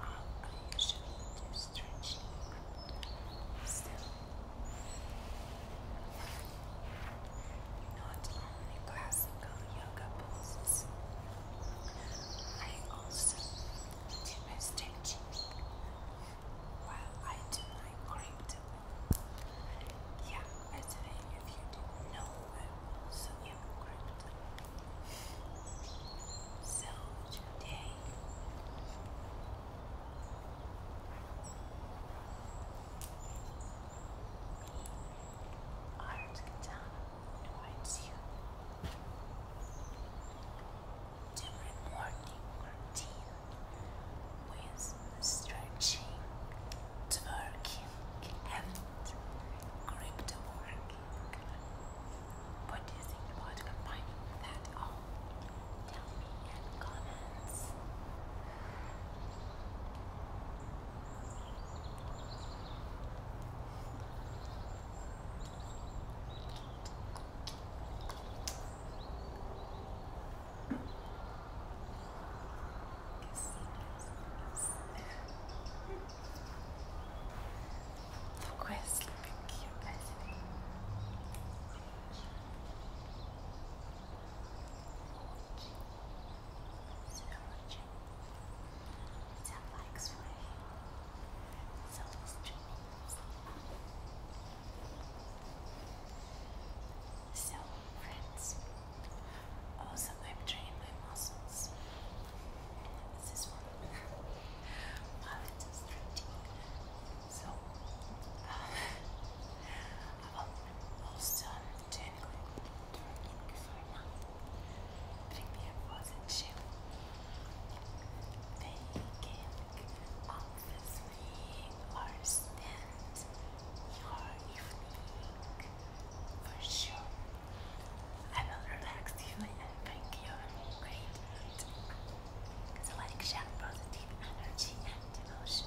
I usually do stretching still. Not only classical yoga poses, I also do stretching while I do my crypto. Yeah, by the way, you did know, I also so today me, Art Katana, invites you to my morning routine with stretching, twerking, and crypto working. What do you think about combining that all? Tell me in comments. The where is. So much. It's a likes for him. It's always dreaming. So also I'm my muscles. It's this one. While it is stretching. So, um, the Kifayma, Premier was in jail. obviously understand your evening for sure. I will relax you and bring you great mood. So like share positive energy and emotions.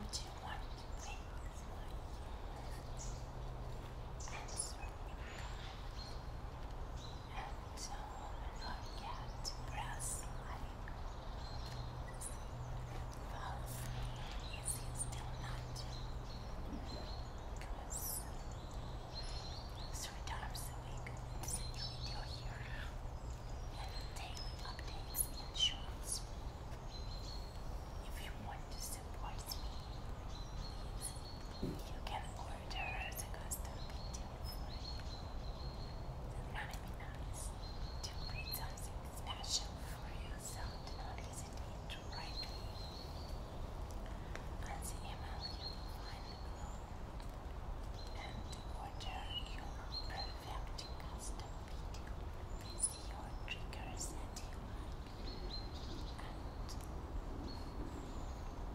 Would you want to think for you? Answer me, God and don't forget to press like. Fall asleep if still not. Because three times a week is a new video here and daily updates and shorts. If you want to support me, you can order a custom pizza for you. Do not be nice to create special for yourself. Do not hesitate to write And the email you find And order your perfect custom video with your triggers that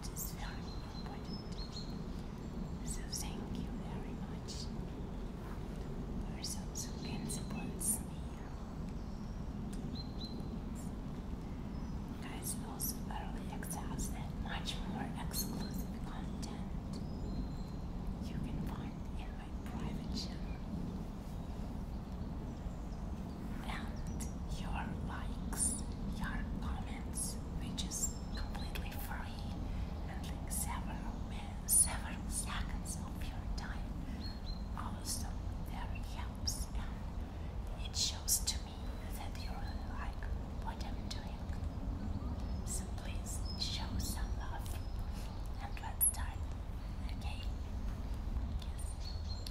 heart very important. So thank you very much. Persons who can support me. Guys, those early exams and much more exclusive content you can find in my private channel and your likes, your comments, which is completely free and like several several seconds of your time. Also, very helps it shows to me that you really like what I'm doing. So please show some love and let's start. Okay. Yes.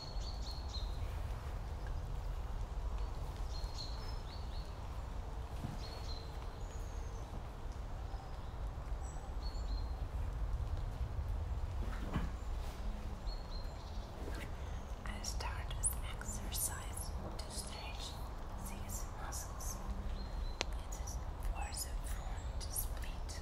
I start with exercise to stretch these muscles. It is for the front split.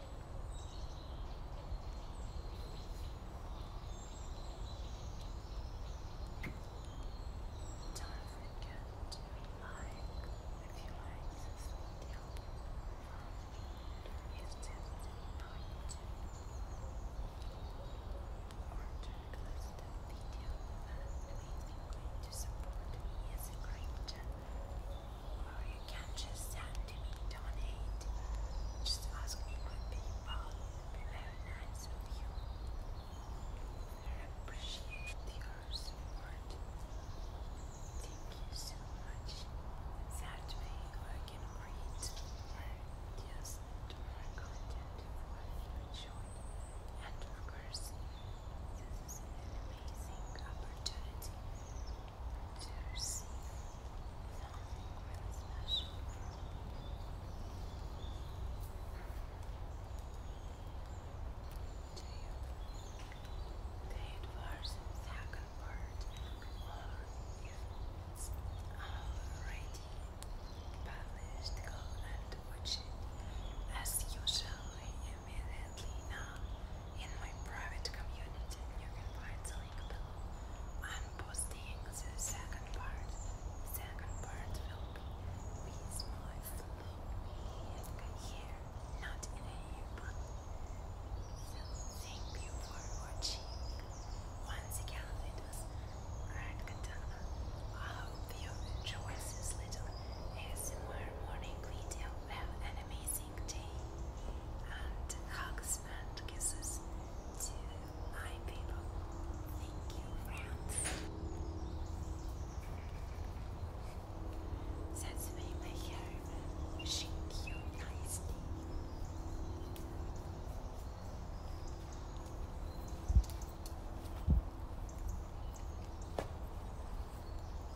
Don't forget to like if you like this video. If this is important or to request a video that means you're going to support me as a great channel. Well, oh, you can just send to me, donate. Just ask me my PayPal. It'll very nice of you. I appreciate your support. Thank you so much. That way I can create more just more content for you And of course, this is an amazing opportunity to receive something special from you. Do you part, or if it's already published, go and watch it as usually immediately now in my private community, you can find the link below. I'm posting the second part. second part will be with my flow here, not in a year, but so thank you for watching. Once again, it was Red Katana. I hope you enjoyed this little ASMR morning video. Have amazing and hugs and kisses to my people. Thank you, friends. That's me, my hair. Wishing you a